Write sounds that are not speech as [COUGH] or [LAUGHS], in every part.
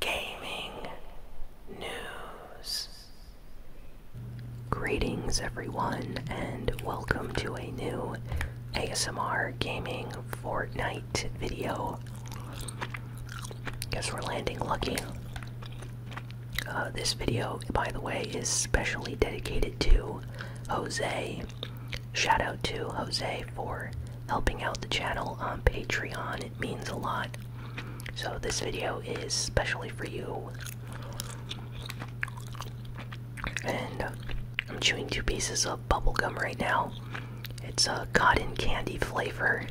gaming news. Greetings, everyone, and welcome to a new ASMR gaming Fortnite video. Guess we're landing lucky. Uh, this video, by the way, is specially dedicated to Jose. Shout out to Jose for helping out the channel on Patreon. It means a lot. So this video is specially for you. And I'm chewing two pieces of bubblegum right now. It's a cotton candy flavor.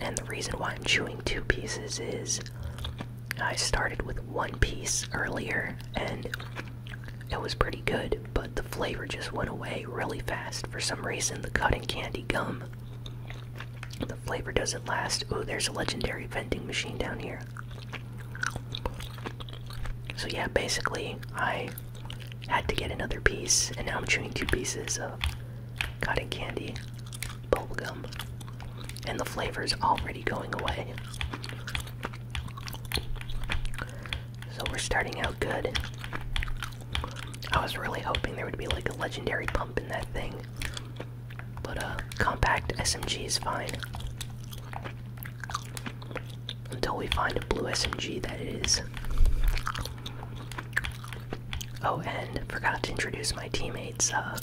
And the reason why I'm chewing two pieces is I started with one piece earlier and it was pretty good, but the flavor just went away really fast. For some reason, the cotton candy gum. The flavor doesn't last. Oh, there's a legendary vending machine down here. So, yeah, basically, I had to get another piece, and now I'm chewing two pieces of cotton candy, bubble gum, and the flavor is already going away. So, we're starting out good. I was really hoping there would be like a legendary pump in that thing. But a uh, compact SMG is fine. Until we find a blue SMG that is. Oh, and forgot to introduce my teammates. Uh,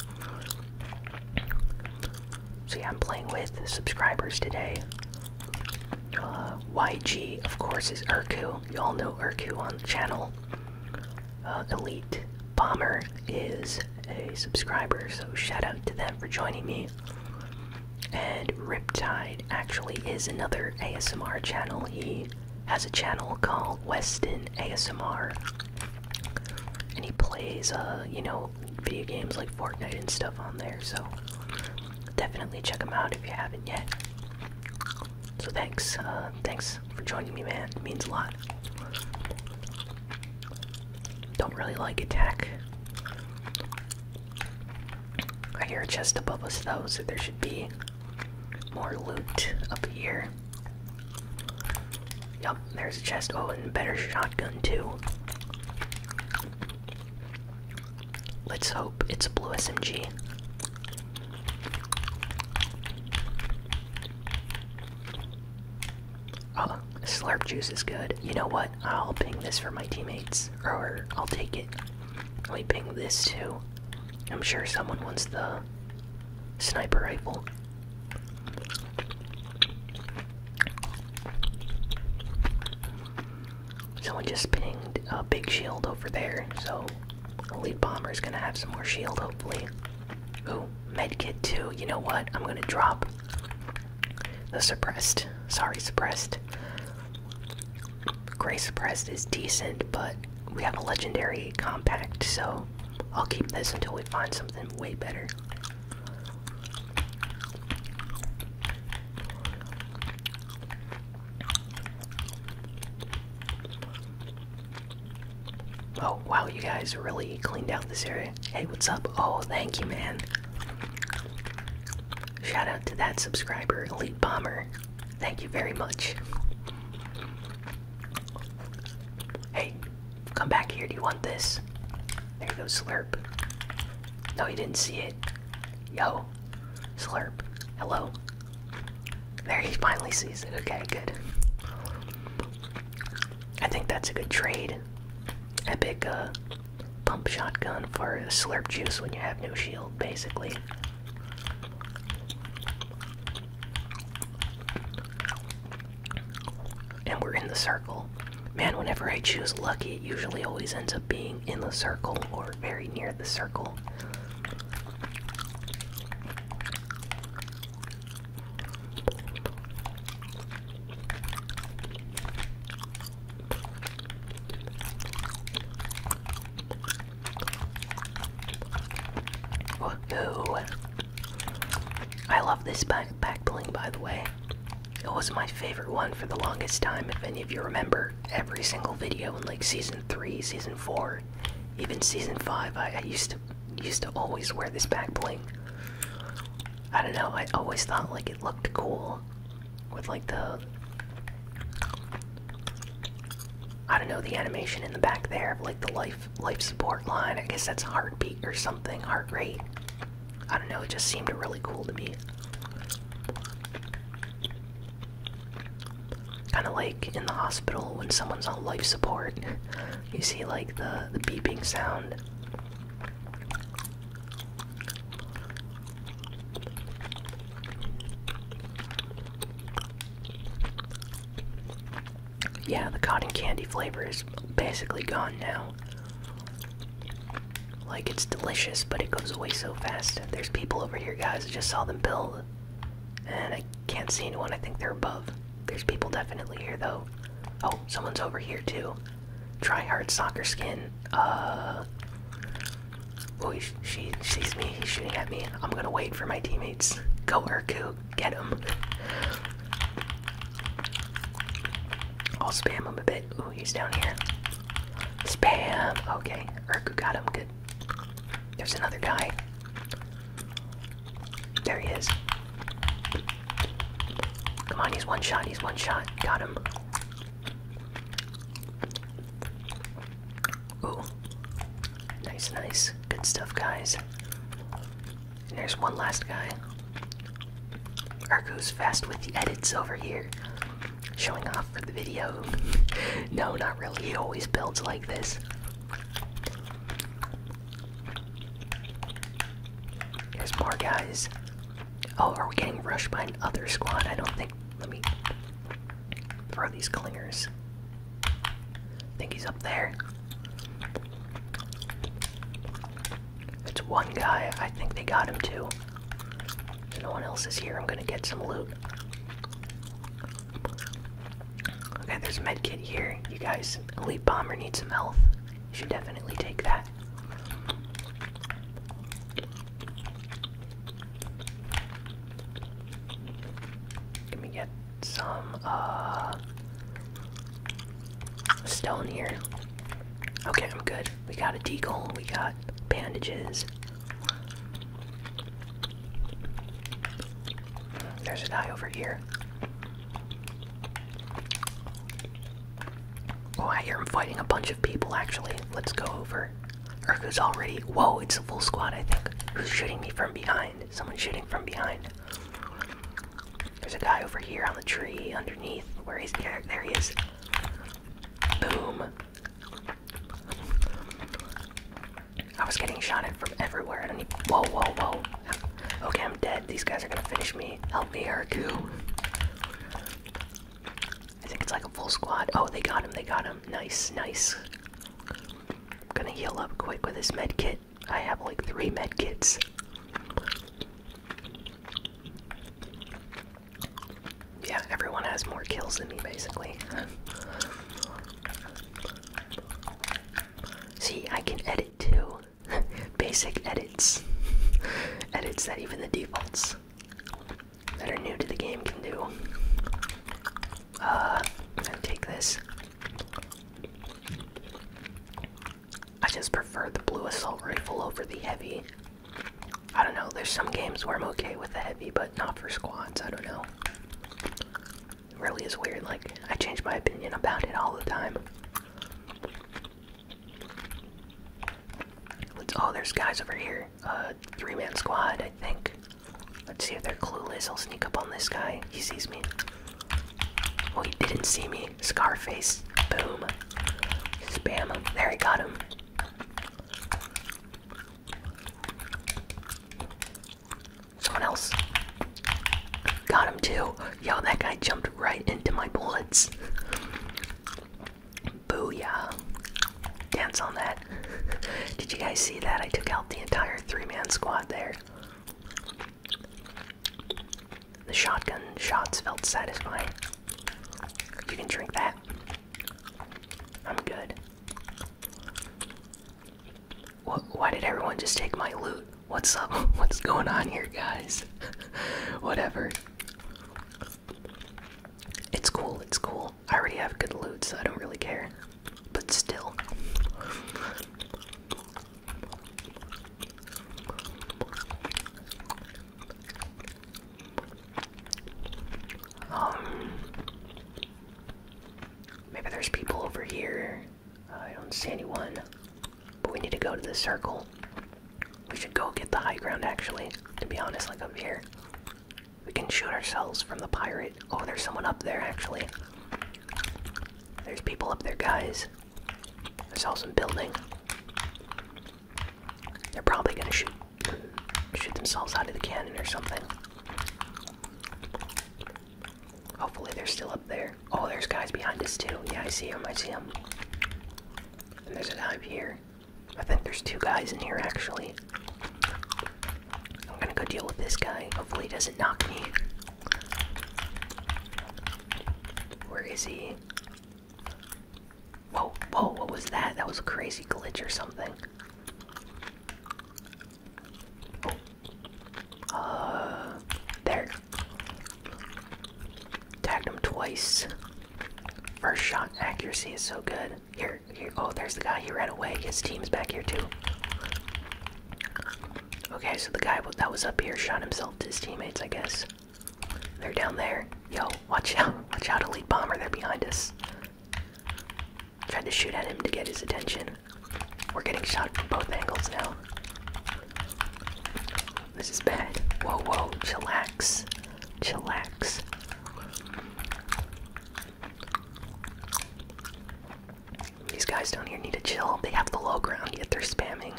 so yeah, I'm playing with subscribers today. Uh, YG, of course, is Urku. You all know Urku on the channel. Uh, Elite Bomber is a subscriber, so shout out to them for joining me. And Riptide actually is another ASMR channel. He has a channel called Weston ASMR, and he plays, uh, you know, video games like Fortnite and stuff on there. So definitely check him out if you haven't yet. So thanks, uh, thanks for joining me, man. It means a lot. Don't really like attack. I hear a chest above us though, so there should be more loot up here. Yup, there's a chest. Oh, and better shotgun too. Let's hope it's a blue SMG. Oh, slurp juice is good. You know what? I'll ping this for my teammates, or I'll take it. Let me ping this too. I'm sure someone wants the sniper rifle. Someone just pinged a big shield over there, so Elite is gonna have some more shield, hopefully. Ooh, medkit too. You know what? I'm gonna drop the suppressed. Sorry, suppressed. Gray suppressed is decent, but we have a legendary compact, so I'll keep this until we find something way better. Oh, wow, you guys really cleaned out this area. Hey, what's up? Oh, thank you, man. Shout out to that subscriber, Elite Bomber. Thank you very much. Hey, come back here. Do you want this? There you go, Slurp. No, you didn't see it. Yo, Slurp. Hello. There he finally sees it. Okay, good. I think that's a good trade. Epic uh, pump shotgun for slurp juice when you have no shield, basically. And we're in the circle. Man, whenever I choose lucky, it usually always ends up being in the circle or very near the circle. Woohoo! I love this back backbling by the way. It was my favorite one for the longest time. If any of you remember, every single video in like season three, season four, even season five, I, I used to used to always wear this back bling. I don't know. I always thought like it looked cool with like the I don't know the animation in the back there of like the life life support line. I guess that's heartbeat or something, heart rate. I don't know, it just seemed really cool to me. Kind of like in the hospital when someone's on life support, [LAUGHS] you see like the, the beeping sound. Yeah, the cotton candy flavor is basically gone now. Like it's delicious, but it goes away so fast. There's people over here, guys. I just saw them build. And I can't see anyone. I think they're above. There's people definitely here, though. Oh, someone's over here, too. Try hard soccer skin. Uh. Oh, he, she sees me. He's shooting at me. I'm gonna wait for my teammates. Go, Urku. Get him. I'll spam him a bit. Ooh, he's down here. Spam. Okay, Urku got him. Good. There's another guy. There he is. Come on, he's one shot. He's one shot. Got him. Ooh. Nice, nice. Good stuff, guys. there's one last guy. Urku's fast with the edits over here. Showing off for the video. [LAUGHS] no, not really. He always builds like this. There's more guys. Oh, are we getting rushed by another squad? I don't think. Let me throw these clingers. think he's up there. It's one guy. I think they got him too. no one else is here. I'm gonna get some loot. Okay, there's a med here. You guys, Elite Bomber needs some health. You should definitely take that. Let me get some, uh, stone here. Okay, I'm good. We got a deagle, we got bandages. There's a guy over here. Oh, I hear him fighting a bunch of people actually. Let's go over. Urko's already. Whoa, it's a full squad, I think. Who's shooting me from behind? Someone shooting from behind. There's a guy over here on the tree underneath. Where is he? There he is. Boom. I was getting shot at from everywhere. I need. Whoa, whoa, whoa. Okay, I'm dead. These guys are gonna finish me. Help me, Herku. I think it's like a full squad. Oh, they got him. They got him. Nice, nice. I'm gonna heal up quick with this med kit. I have like three med kits. Yeah, everyone has more kills than me, basically. See, I can edit too. [LAUGHS] Basic edits. edits that even the defaults that are new to the game can do. Uh, take this. I just prefer the blue assault rifle over the heavy. I don't know, there's some games where I'm okay with the heavy, but not for squads, I don't know. really is weird, like, I change my opinion about it all the time. Let's, oh, there's guys over here. Uh, three-man squad, I think. Let's see if they're clueless. I'll sneak up on this guy. He sees me. Oh, he didn't see me. Scarface. Boom. Spam him. There he got him. Someone else. Got him too. Yo, that guy jumped right into my bullets. Booyah. Dance on that. Did you guys see that? I took out the entire three man squad there. The shotgun shots felt satisfying. You can drink that. I'm good. why did everyone just take my loot? What's up? [LAUGHS] What's going on here, guys? [LAUGHS] Whatever. It's cool, it's cool. I already have good loot, so I don't really care. But still. Um, maybe there's people over here. Uh, I don't see anyone. But we need to go to the circle. We should go get the high ground, actually, to be honest, like up here. We can shoot ourselves from the pirate. Oh, there's someone up there, actually. There's people up there, guys. I saw some building. They're probably gonna shoot shoot themselves out of the cannon or something. Hopefully they're still up there. Oh, there's guys behind us too. Yeah, I see them. I see them. there's a guy here. I think there's two guys in here actually. I'm gonna go deal with this guy. Hopefully he doesn't knock me. Where is he? Whoa, whoa, what was that? That was a crazy glitch or something. Oh. Uh, there. Tagged him twice. First shot accuracy is so good. Here, here. Oh, there's the guy. He ran away. His team's back here too. Okay, so the guy that was up here shot himself to his teammates, I guess. They're down there. Yo, watch out. Watch out, Elite Bomber. They're behind us. Tried to shoot at him to get his attention. We're getting shot from both angles now. This is bad. Whoa, whoa. Chillax. Chillax. These guys down here need to chill. They have the low ground, yet they're spamming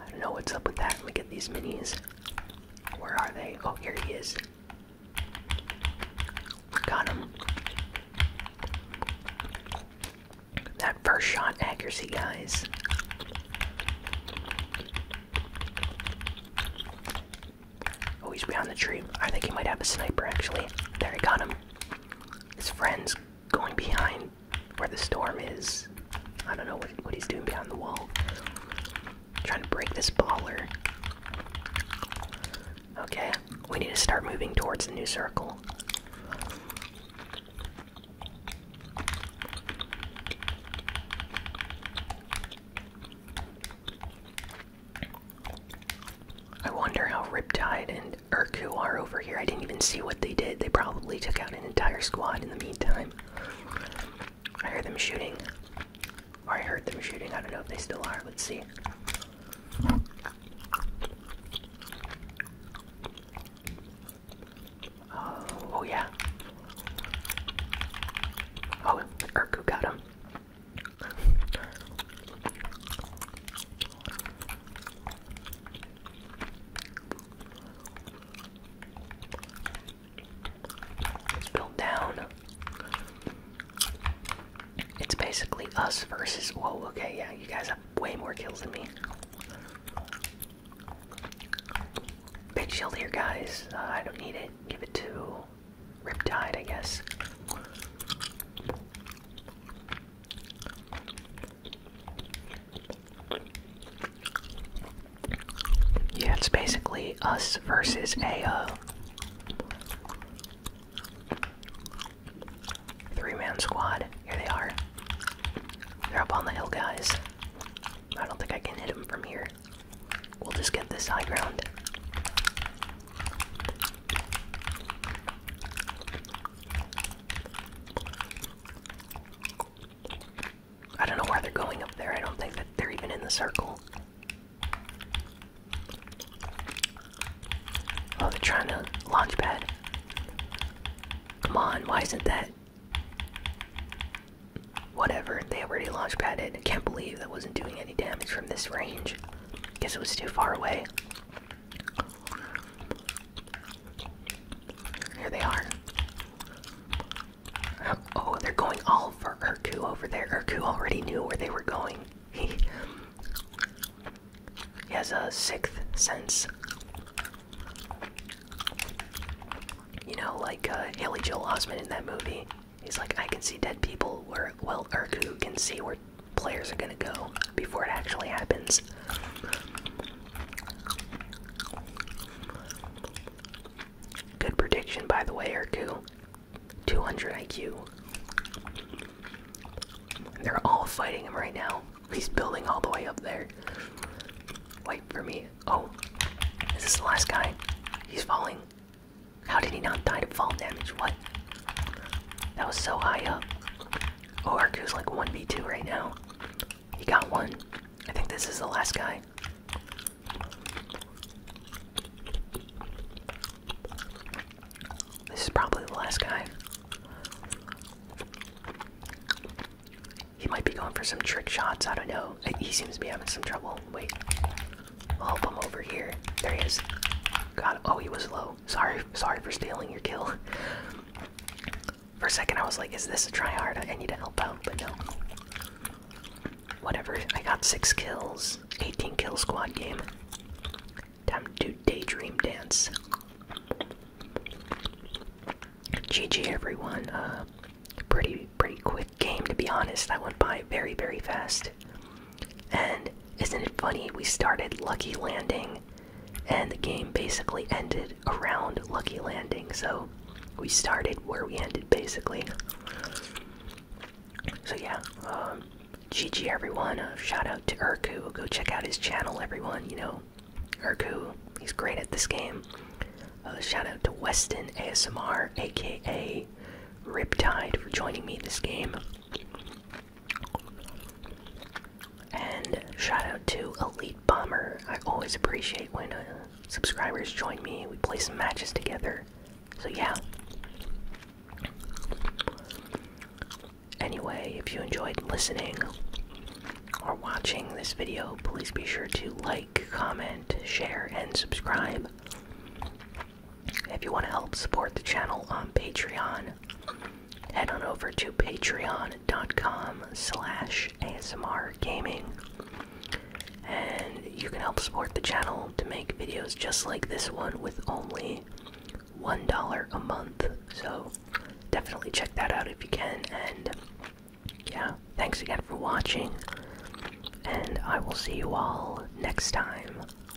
I don't know what's up with that. Let me get these minis. Where are they? Oh, here he is. Got him. That first shot accuracy, guys. Oh, he's behind the tree. I think he might have a sniper, actually. There, he got him. His friends going behind where the storm is. I don't know what, what he's doing behind the wall. Trying to break this baller. Okay, we need to start moving towards the new circle. I wonder how Riptide and and Urku are over here. I didn't even see what they did. They probably took out an entire squad in the meantime. I hear them shooting. I heard them shooting. I don't know if they still are. Let's see. oh, oh yeah. Oh, Urku got him. It's down. It's basically us versus. Whoa, okay, yeah, you guys have way more kills than me. Big shield here, guys. Uh, I don't need it. Give it to Riptide, I guess. Yeah, it's basically us versus a uh, three man squad. Here they are. They're up on the hill, guys. I don't think I can hit them from here. We'll just get this high ground. I don't know why they're going up there. I don't think that they're even in the circle. Oh, they're trying to launch pad. Come on, why isn't that? Whatever, they already launch padded. I can't believe that wasn't doing any damage from this range. Guess it was too far away. Here they are. Oh, they're going all for Urku over there. Urku already knew where they were going. [LAUGHS] He, has a sixth sense. You know, like uh, Haley Joel Osment in that movie. He's like, I can see dead people well, Urku can see where players are gonna go before it actually happens. Good prediction, by the way, Erku. 200 IQ. They're all fighting him right now. He's building all the way up there. Wait for me. Oh, is this the last guy? He's falling. How did he not die to fall damage? What? That was so high up. Oh, is like 1v2 right now. He got one. I think this is the last guy. This is probably the last guy. He might be going for some trick shots. I don't know. He seems to be having some trouble. Wait. I'll help him over here. There he is. God. Oh, he was low. Sorry, sorry for stealing your kill. For a second, I was like, is this a tryhard? I need to help out, but no. Whatever, I got six kills. 18 kill squad game. Time to do daydream dance. GG everyone. Uh, pretty pretty quick game to be honest. That went by very very fast. And isn't it funny? We started Lucky Landing, and the game basically ended around Lucky Landing. So we started where we ended, basically. So yeah, um, GG everyone. Uh, shout out to Urku. Go check out his channel, everyone. You know, Urku, he's great at this game. Uh, shout out to Weston ASMR, aka Riptide, for joining me in this game. And shout out to Elite Bomber. I always appreciate when uh, subscribers join me. We play some matches together. So, yeah. Anyway, if you enjoyed listening or watching this video, please be sure to like, comment, share, and subscribe. If you want to help support the channel on Patreon, head on over to patreon.com slash ASMR Gaming. And you can help support the channel to make videos just like this one with only $1 a month. So definitely check that out if you can. And yeah, thanks again for watching. And I will see you all next time.